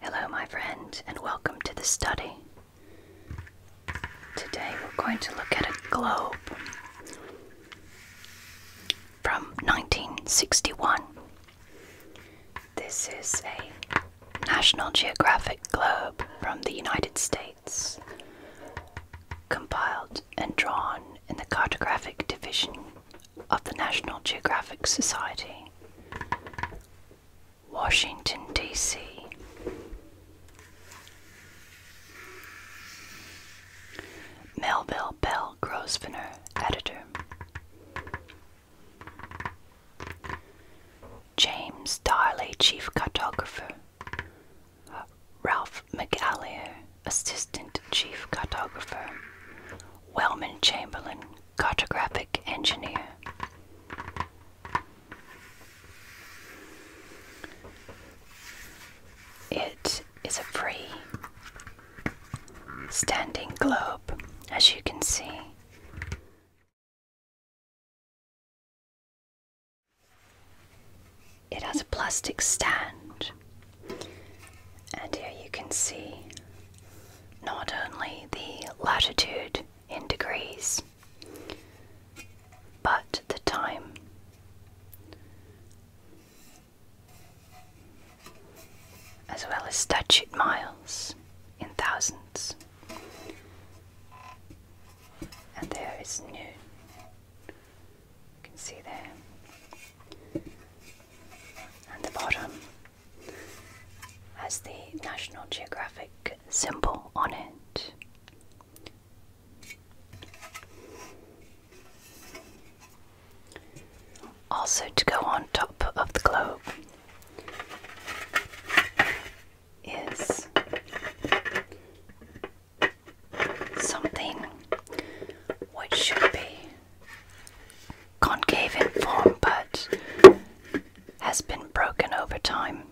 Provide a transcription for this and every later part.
Hello, my friend, and welcome to the study. Today we're going to look at a globe from 1961. This is a National Geographic globe from the United States, compiled and drawn in the Cartographic Division of the National Geographic Society. Washington, D.C. Melville Bell Grosvenor, editor. James Darley, chief cartographer. Ralph McAleer, Assistant Chief Cartographer, Wellman Chamberlain, Cartographic Engineer. It is a free standing globe, as you can see. It has a plastic stand and here you can see not only the latitude in degrees, but the time. As well as statute miles in thousands. And there is noon. You can see there and the bottom has the National Geographic symbol on it. Also, to go on top of the globe is something which should be concave in form but has been broken over time.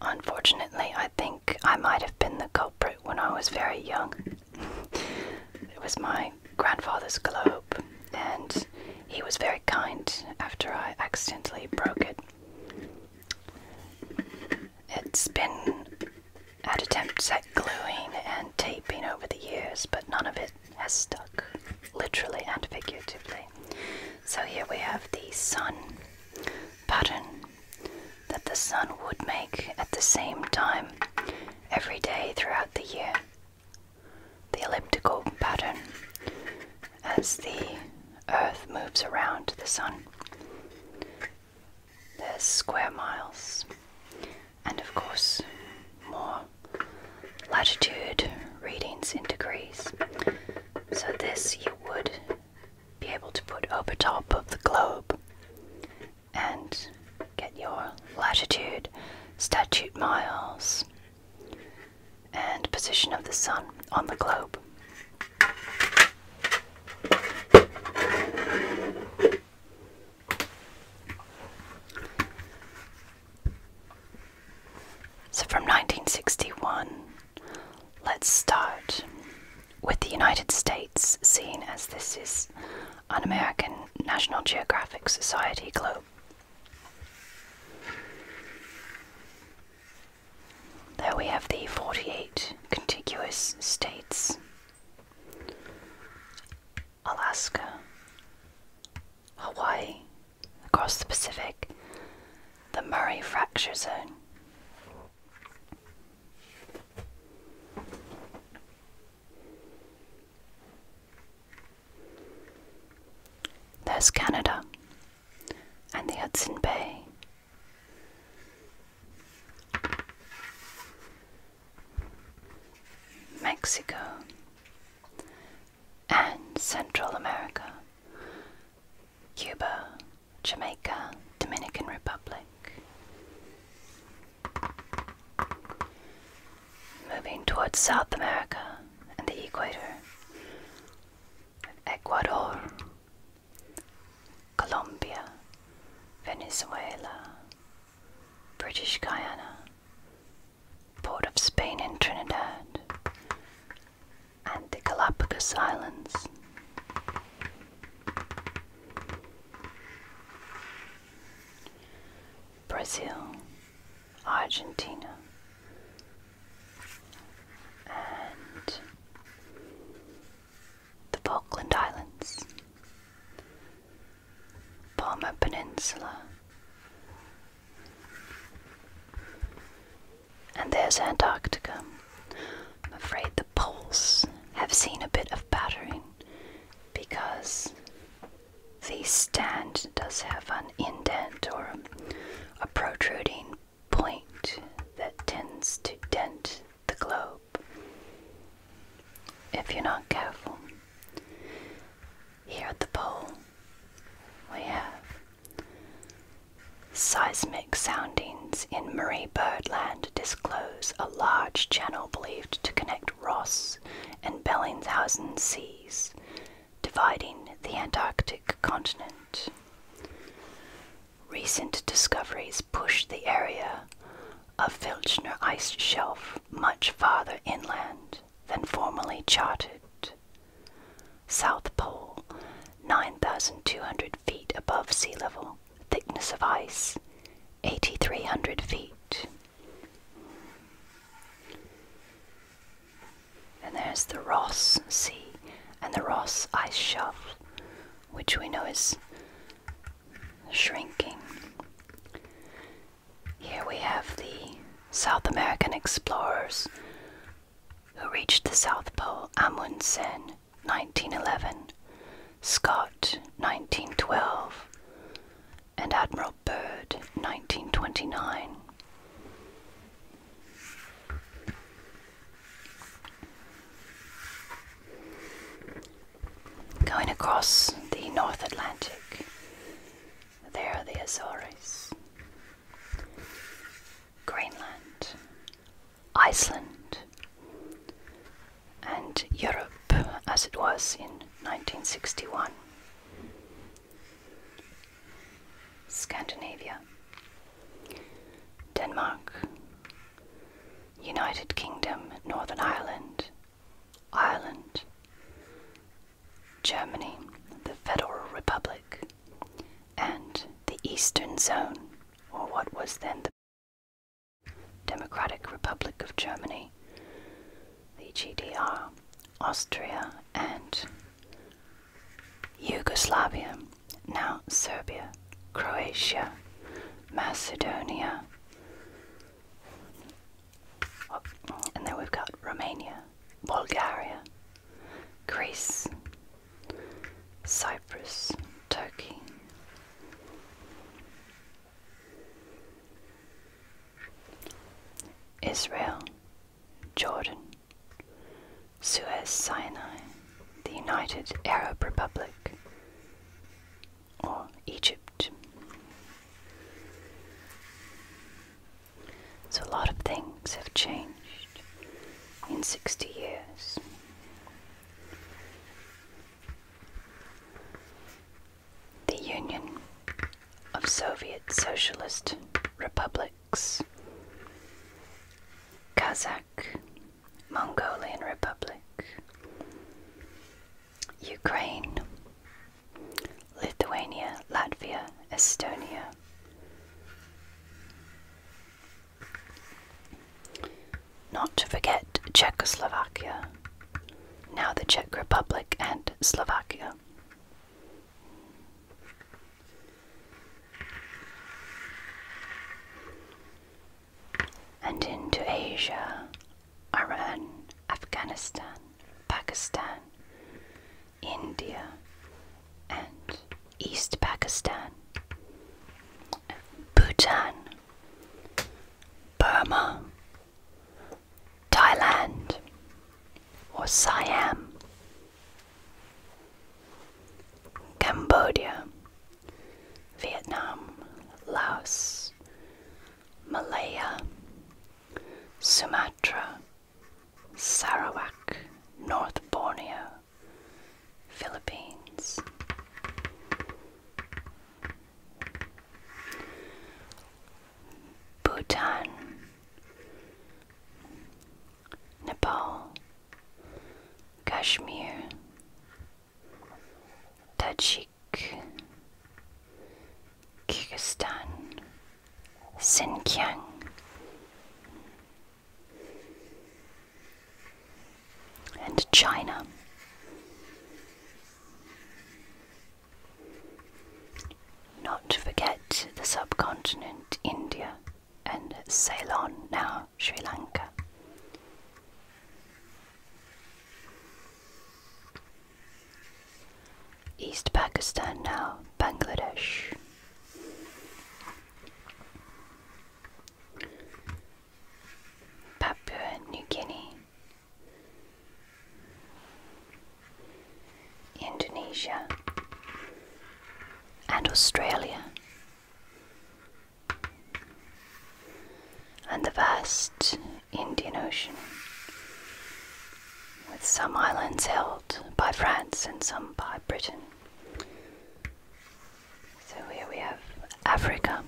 Unfortunately, I think I might have been the culprit when I was very young. it was my grandfather's globe, and he was very kind after I accidentally broke it. It's been had attempts at gluing and taping over the years, but none of it has stuck, literally and figuratively. So here we have the sun pattern that the sun would make at the same time every day throughout the year. The elliptical pattern as the earth moves around the sun. There's square miles, and of course, more latitude readings in degrees. So, this you would be able to put over top of the globe and get your latitude, statute miles, and position of the sun on the globe. So, from 1961, let's start with the United States, seen as this is an American National Geographic Society globe. There we have the 48 contiguous states Alaska, Hawaii, across the Pacific, the Murray Fracture Zone. There's Canada and the Hudson Bay. Mexico, and Central America, Cuba, Jamaica, Dominican Republic. Moving towards South America and the equator, Ecuador, Colombia, Venezuela, British Guiana, Port of Spain in Trinidad, and the Galapagos Islands. Brazil, Argentina, and the Falkland Islands. Palmer Peninsula. And there's Antarctica. I'm afraid the poles have seen a bit of battering because the stand does have an indent or a, protruding point that tends to dent the globe if you're not careful. Here at the pole, we have seismic soundings in Murray Birdland disclose a large channel believed to connect Ross and Bellinghausen seas, dividing the Antarctic continent. Recent discoveries push the area of Filchner ice shelf much farther inland than formerly charted. South Pole, 9,200 feet above sea level. Thickness of ice, 8,300 feet. And there's the Ross Sea and the Ross Ice Shelf, which we know is shrinking. Here we have the South American explorers who reached the South Pole Amundsen 1911, Scott 1912, and Admiral Byrd 1929. Going across the North Atlantic, there are the Azores, Greenland, Iceland, and Europe as it was in 1961. Scandinavia, Denmark, United Kingdom, Northern Ireland, Ireland, Germany, the Federal Republic, and the Eastern Zone, or what was then the Democratic Republic of Germany, the GDR, Austria, and Yugoslavia, now Serbia, Croatia, Macedonia, and then we've got Romania, Bulgaria, Greece, Cyprus, Turkey. Israel, Jordan, Suez Sinai, the United Arab Republic, or Egypt. So a lot of things have changed in 60 years. The Union of Soviet Socialist Republics, Kazakh, Mongolian Republic, Ukraine, Lithuania, Latvia, Estonia. Not to forget Czechoslovakia, now the Czech Republic and Slovakia and into Asia, Iran, Afghanistan, Pakistan, India, and East Pakistan, Bhutan, Burma, Thailand, or Siam, Cambodia, Vietnam, Laos, Malaya, Sumatra, Sarawak, North Borneo, Philippines. Bhutan, Nepal, Kashmir, Tajik, Kyrgyzstan, Xinjiang. And China. Not to forget the subcontinent India and Ceylon, now Sri Lanka. East Pakistan now, Bangladesh. Papua New Guinea, Indonesia, and Australia and the vast Indian Ocean, with some islands held by France and some by Britain. So here we have Africa.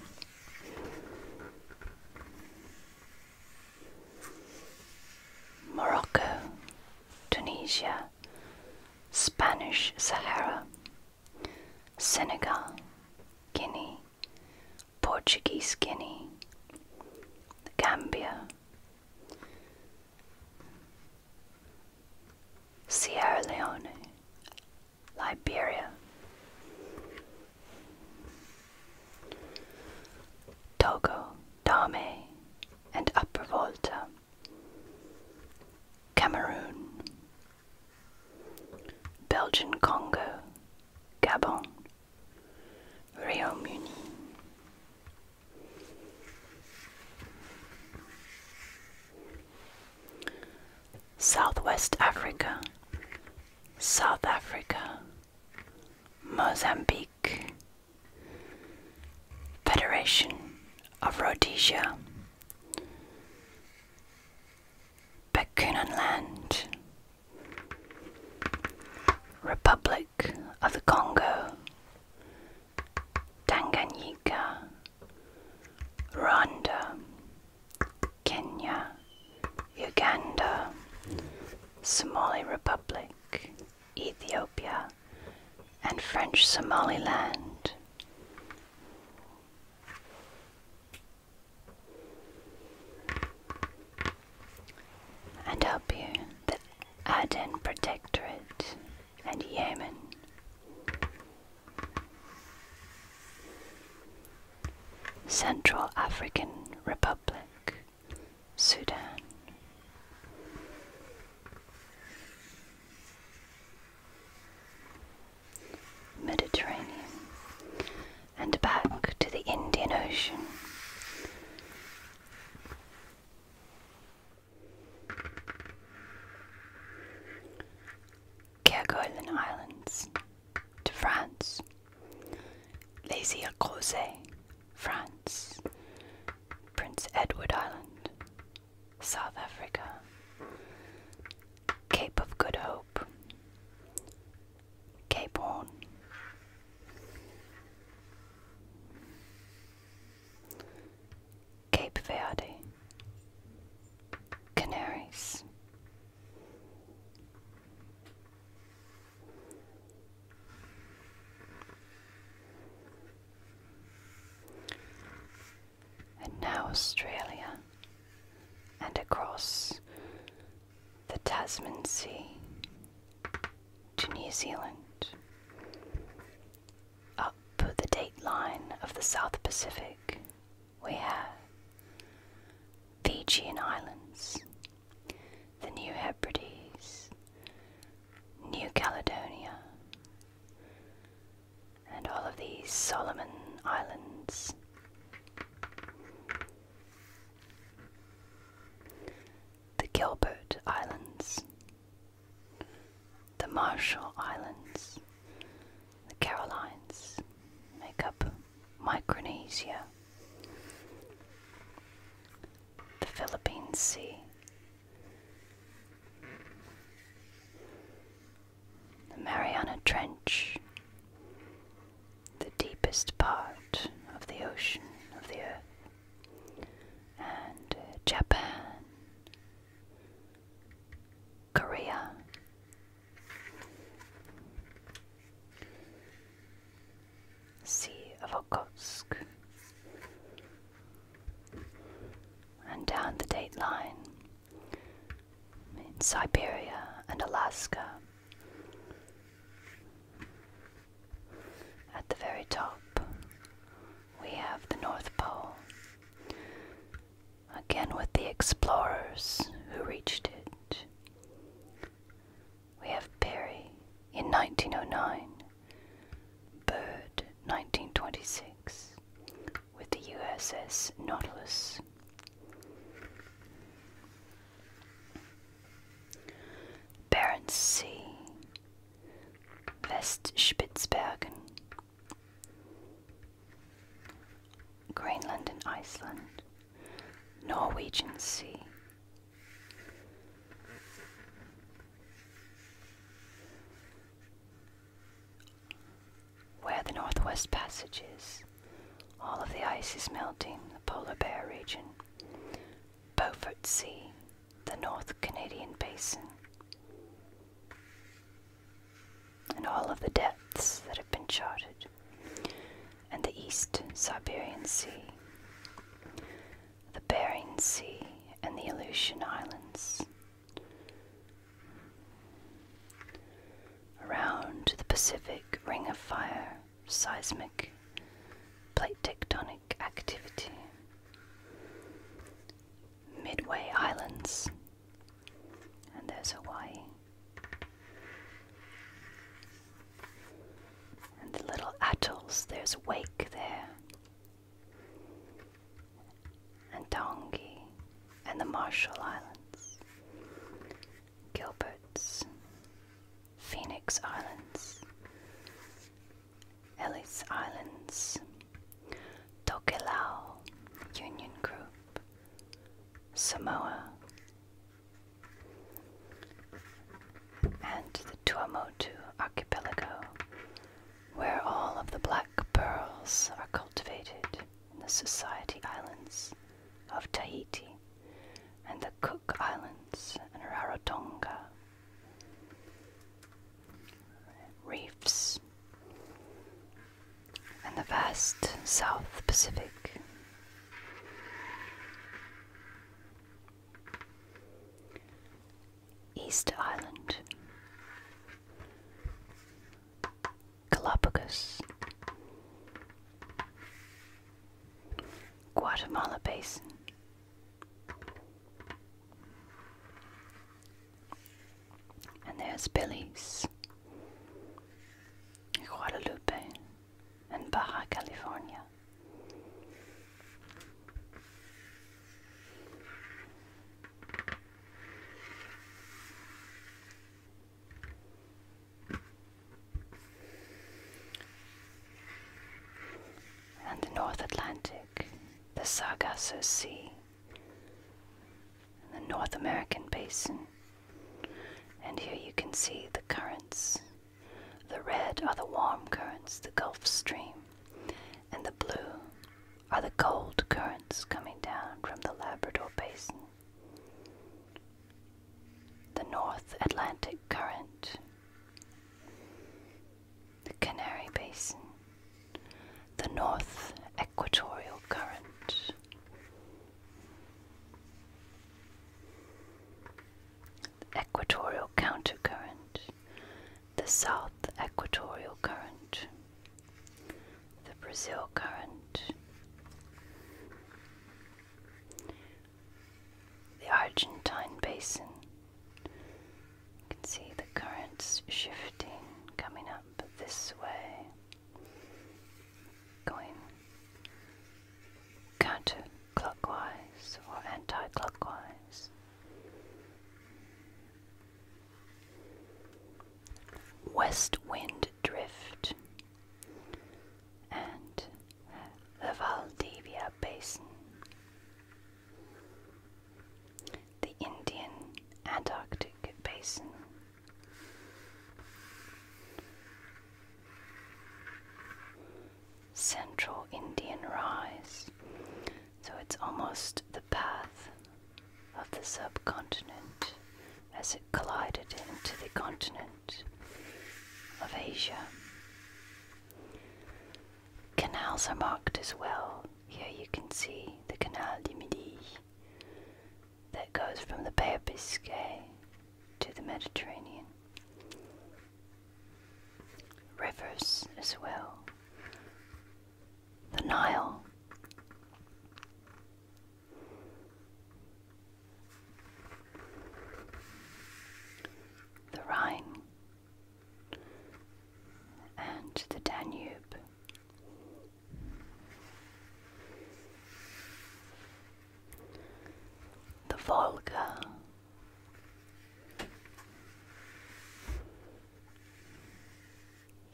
Morocco, Tunisia, Spanish Sahara, Senegal, Guinea, Portuguese Guinea, Gambia, Sierra Leone, Liberia, Togo, Dahomey, and Upper Volta, Cameroon, Belgian Congo, Gabon, royaume Southwest Africa, South Africa, Mozambique, Federation of Rhodesia, Bechuanaland, Republic of the Congo, Tanganyika, Rwanda, Kenya, Uganda, Somali Republic, Ethiopia, and French Somaliland and help you, the Aden Protectorate and Yemen. Central African Republic, Sudan. Mediterranean, and back to the Indian Ocean. Kerguelen Islands to France. Les Îles Crozet, France. Prince Edward Island, South Africa. Cape of Good Hope, Cape Horn, Cape Verde, Canaries, and now Australia, and across the Tasman Sea to New Zealand, up the date line of the South Pacific, we have the Fijian Islands, the New Hebrides, New Caledonia, and all of these Solomon Islands. The Gilbert Islands, the Marshall Islands, the Carolines make up Micronesia, the Philippine Sea, the Mariana Trench, the deepest part of the ocean of the earth, and uh, Japan, Korea. Sea of Okhotsk. And down the date line in Siberia and Alaska, at the very top, we have the North Pole, again with the explorers who reached it. We have Perry in 1909, Byrd 1926, with the USS Nautilus Barents Sea, West Westspitzbergen, Greenland and Iceland, Norwegian Sea. Where the Northwest Passage is, all of the ice is melting, the polar bear region, Beaufort Sea, the North Canadian Basin, and all of the depths that have been charted, and the East Siberian Sea, the Bering Sea, and the Aleutian Islands around the Pacific Ring of Fire seismic plate tectonic activity. Midway Islands, and there's Hawaii. And the little atolls, there's Wake there, and Tongi, and the Marshall Islands. Gilbert's, Phoenix Islands, Ellis Islands, Tokelau, Union Group, Samoa, and the Tuamotu Archipelago, where all of the black pearls are cultivated in the Society Islands of Tahiti and the Cook Islands and Rarotonga. Reefs and the vast South Pacific. Easter Island Galapagos. Guatemala Basin. And there's Belize, Guadalupe, and Baja California and the North Atlantic, the Sargasso Sea, and the North American Basin. And here you can see the currents. The red are the warm currents, the Gulf Stream, and the blue are the cold currents coming down from the Labrador Basin the North Atlantic Current, the Canary Basin, the North Equatorial Current, the Equatorial Countercurrent, the South Equatorial Current, the Brazil Current, the Argentine basin. You can see the currents shifting, coming up this way, going counterclockwise or anti-clockwise. West wind drift and the Valdivia Basin. The Indian Antarctic Basin. Central Indian Rise. So it's almost the path of the subcontinent as it collided into the continent of Asia. Canals are marked as well. Here you can see the Canal du Midi that goes from the Bay of Biscay to the Mediterranean. Rivers as well. The Nile, the Rhine and the Danube. The Volga,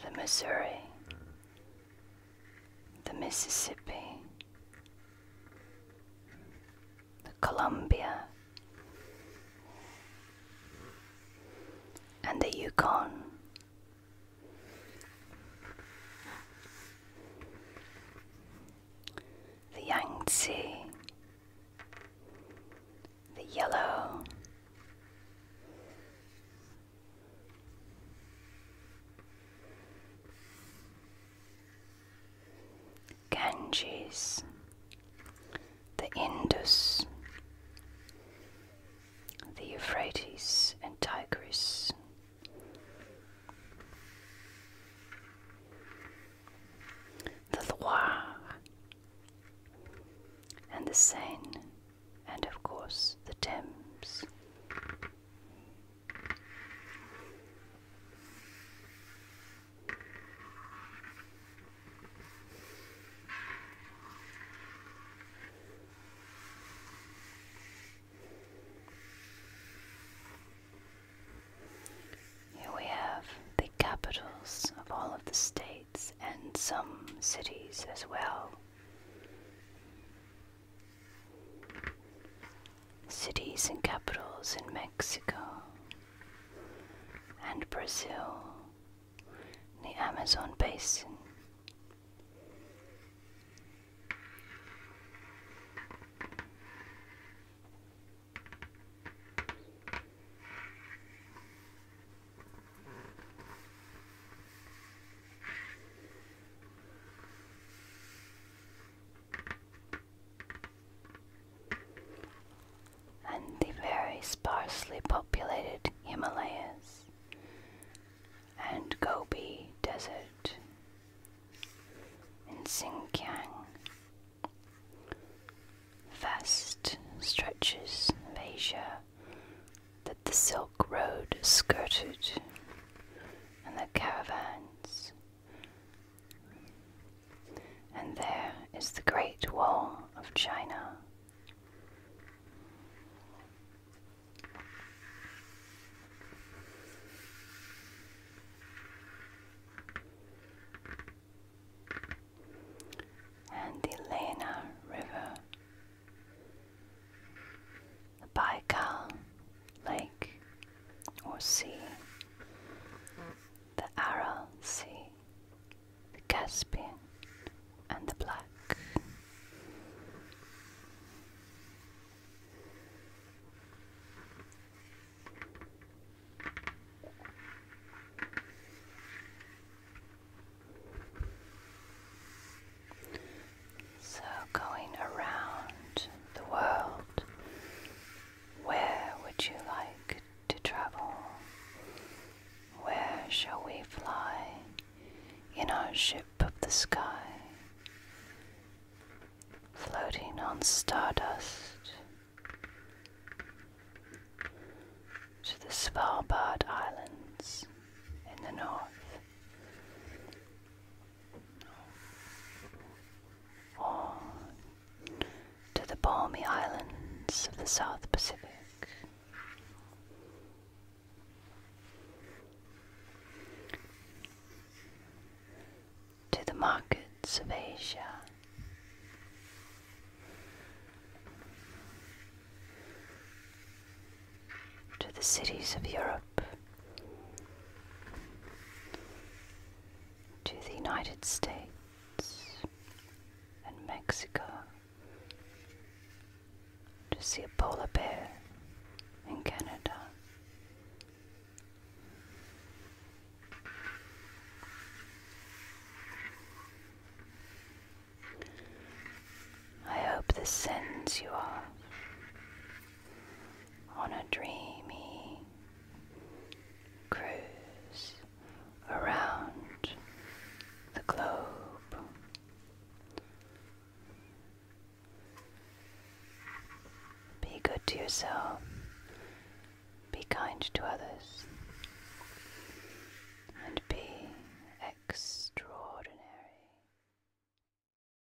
the Missouri, mm the Mississippi, the Columbia, and the Yukon. The Yangtze, the Yellow, Ganges, the Indus, the Euphrates and Tigris. The Loire and the Seine, and of course the Thames. Here we have the capitals of all of the states and some cities as well. Cities and capitals in Mexico and Brazil, the Amazon basin and the very sparsely populated Himalayas and Gobi Desert in Xinjiang. Vast stretches of Asia that the Silk Road skirted and the caravans. And there is the Great Wall of China. And the Lena River the Baikal lake or sea, the Aral Sea, the Caspian, and the Black. So, going around the world, where would you like to travel? Where shall we fly in our ship of the sky? Floating on stardust to the Svalbard Islands in the north on to the balmy islands of the South Pacific. To the markets of Asia, to the cities of Europe, to the United States and Mexico to see a polar bear in Canada. I hope this sends you off on a dreamy cruise around the globe. Be good to yourself, be kind to others, and be extraordinary.